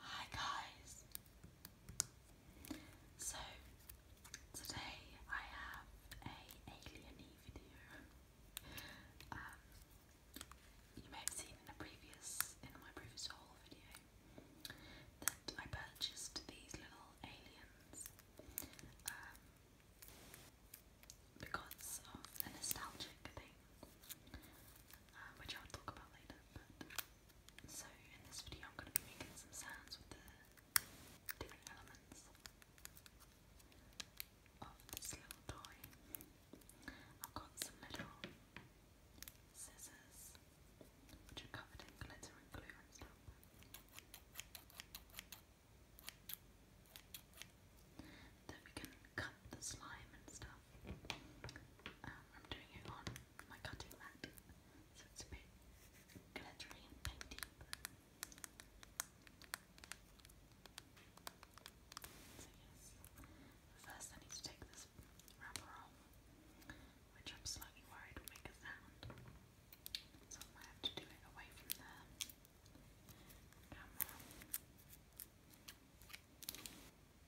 Hi guys! So today I have a alien video. Um, you may have seen in my previous haul video that I purchased these little aliens um, because of the nostalgic they uh, which I'll talk about later. so in this video, I'm going to be making some sounds with the different elements of this little toy. I've got some little scissors, which are covered in glitter and glue and stuff. That we can cut the slime and stuff. Um, I'm doing it on my cutting mat, so it's a bit glittery and painty. So yes, first I need to take this wrapper off, which I'm slightly worried will make a sound, so I might have to do it away from the camera.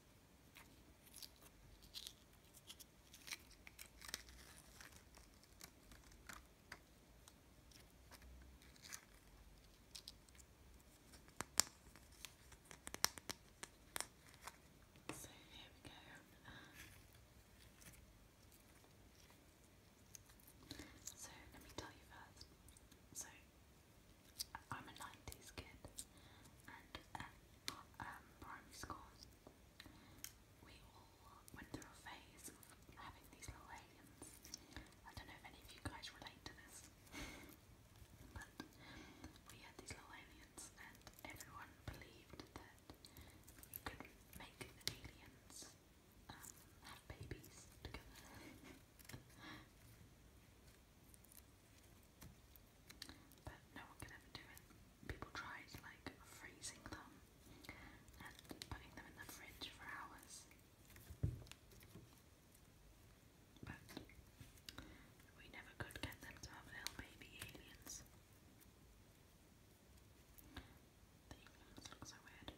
So there we go. so let me tell you first. So I'm a 90s kid and at uh, um, primary school we all went through a phase of having these little aliens. I don't know if any of you guys relate to this, but we had these little aliens and everyone believed that you could make the aliens um, have babies together. But no one can ever do it. People tried like freezing them and putting them in the fridge for hours. But we never could get them to have little baby aliens. The aliens look so weird.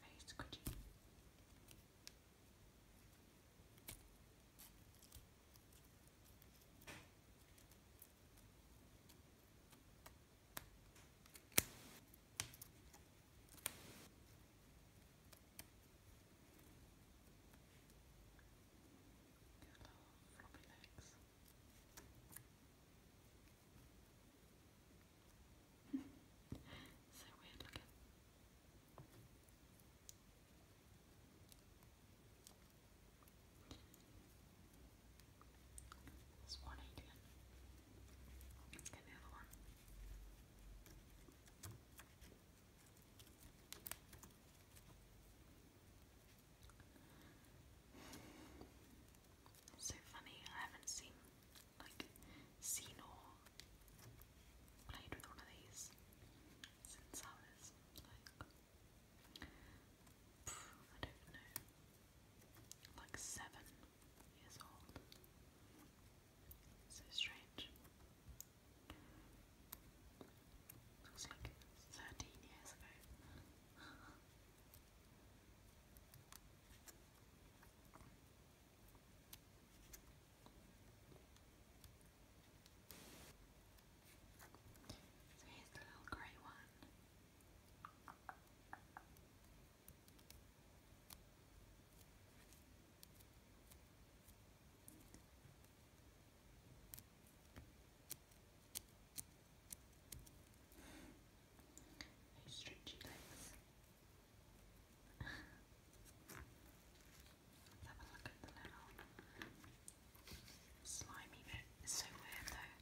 Very squidgy floppy legs. so weird looking. There's one alien. get the other one. so funny, I haven't seen like Senor played with one of these since like I don't know like seven years old. So strange. Looks like thirteen years ago. So here's the little grey one. stretchy legs have a look at the little slimy bit. It's so weird though.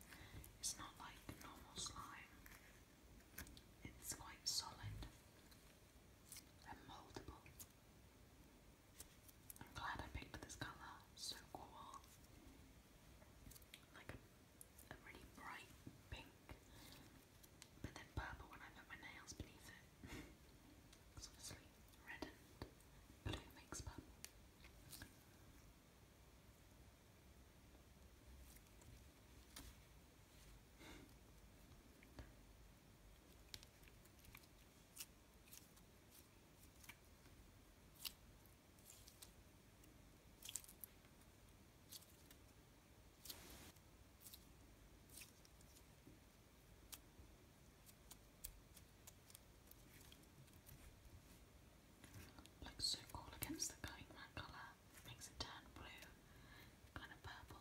It's not like normal slime. It's quite solid and moldable. I'm glad I picked this colour. So cool. Like a really bright pink but then purple when I put my nails beneath it. Because red and blue makes purple. Looks so cool against the going that colour. Makes it turn blue, kind of purple.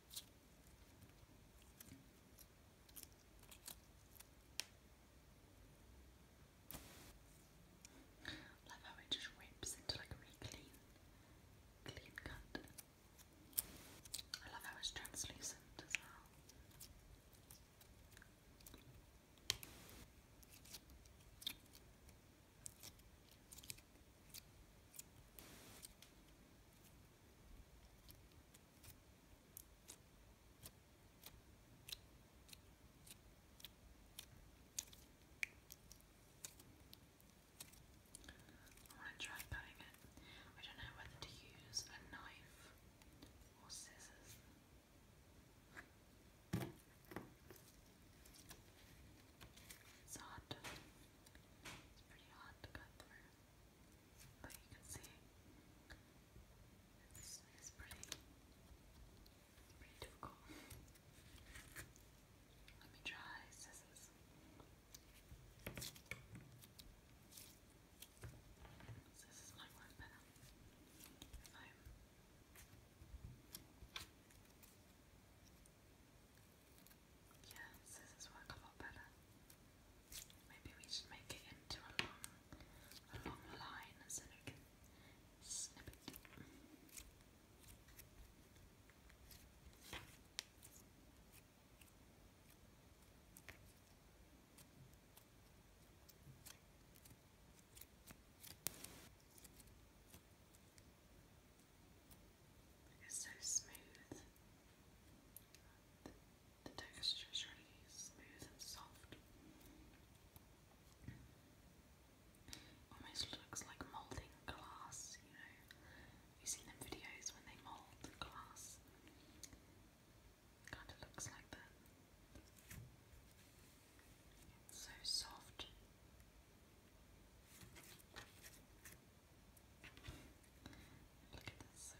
Love how it just rips into like a really clean, clean cut. I love how it's translucent as well. I want to try cutting it. I don't know whether to use a knife or scissors. It's hard. it's pretty hard but you can see it's, it's pretty, pretty difficult. Let me try scissors. Scissors might work better yeah, scissors work a lot better. Maybe we should make it into a long, a long line so we can snip it. It's so smooth. The texture is really smooth and soft. Almost looks like moulding glass, you know. You've seen them videos when they mould glass. Kind of looks like that. so soft. Look at this, so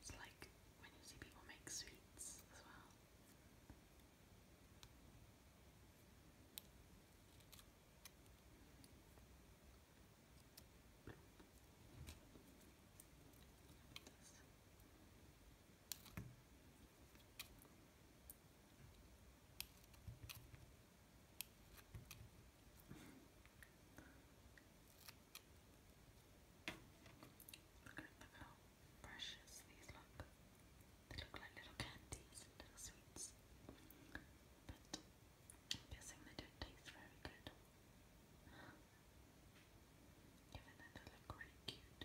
it's like when you see people make sweets as well. Look at how precious these look. They look like little candies and little sweets. But I'm guessing they don't taste very good. Even though they look really cute.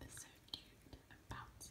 They're so cute and bouncy.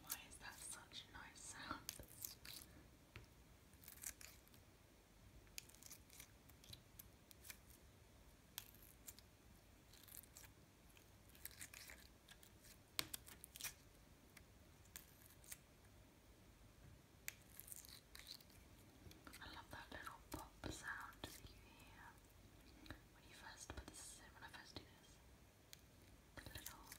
Why is that such a nice sound? I love that little pop sound that you hear when you first put this in, when I first do this. The little sound.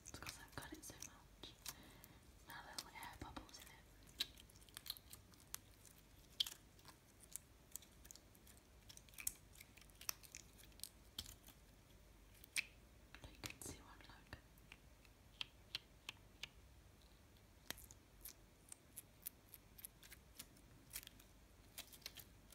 It's because I've got it so much. Now there air bubbles in it. But you can see one like.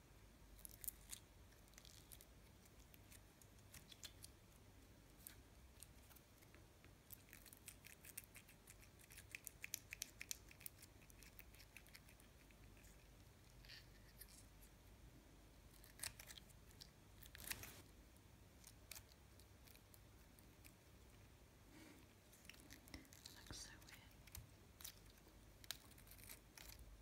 It looks so weird.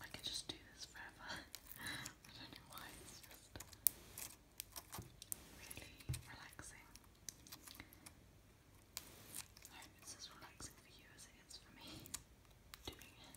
I could just do this forever. I don't know why, it's just really relaxing. I hope it's as relaxing for you as it is for me doing it.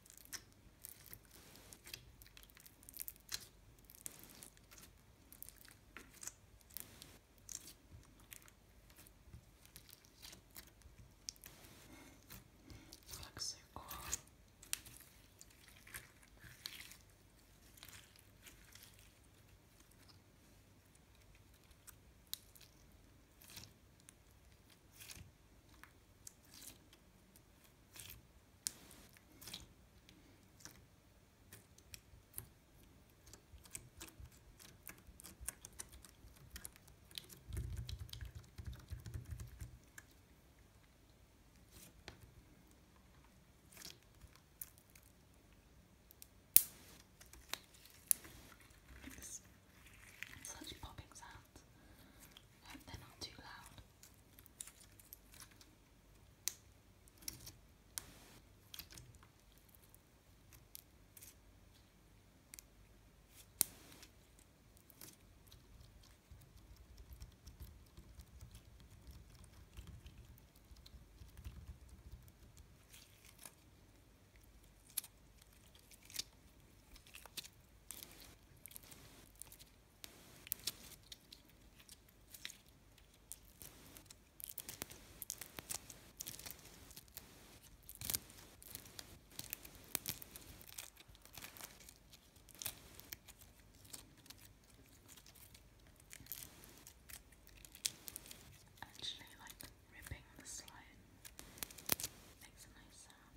It looks so cool. Such popping sounds sounds. I they're not too loud. Actually, like ripping the slime makes a nice sound.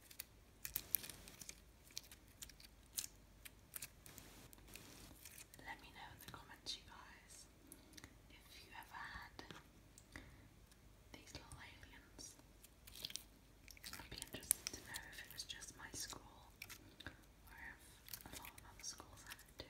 Let me know in the comments, you guys, if you ever had these little aliens. I'd be interested to know if it was just my school or if a other schools had it too.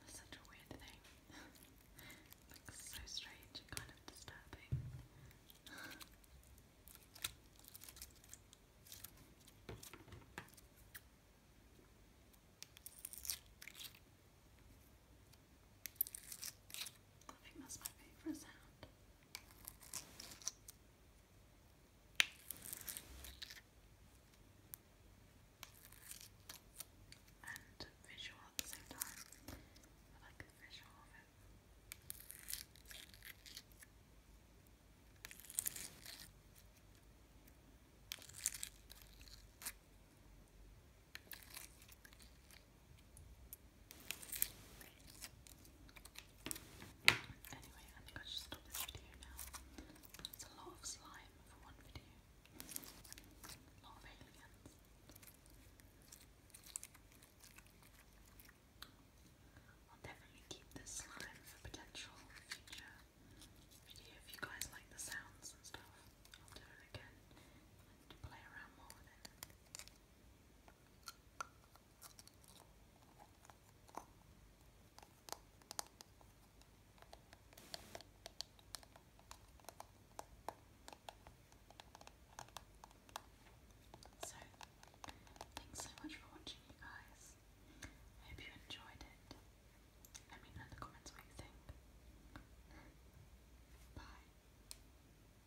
That's such a weird thing. so strange and kind of disturbing. that's my favourite sound and visual at the same time. I like the visual of it. I Anyway, I think I should stop this video now. It's a lot of slime for one video. lot of aliens. I'll definitely keep this slime for potential future video if you guys like the sounds and stuff. I'll do it again and play around more with it. So, thanks so much for watching, you guys. I hope you enjoyed it. Let me know in the comments what you think. Bye.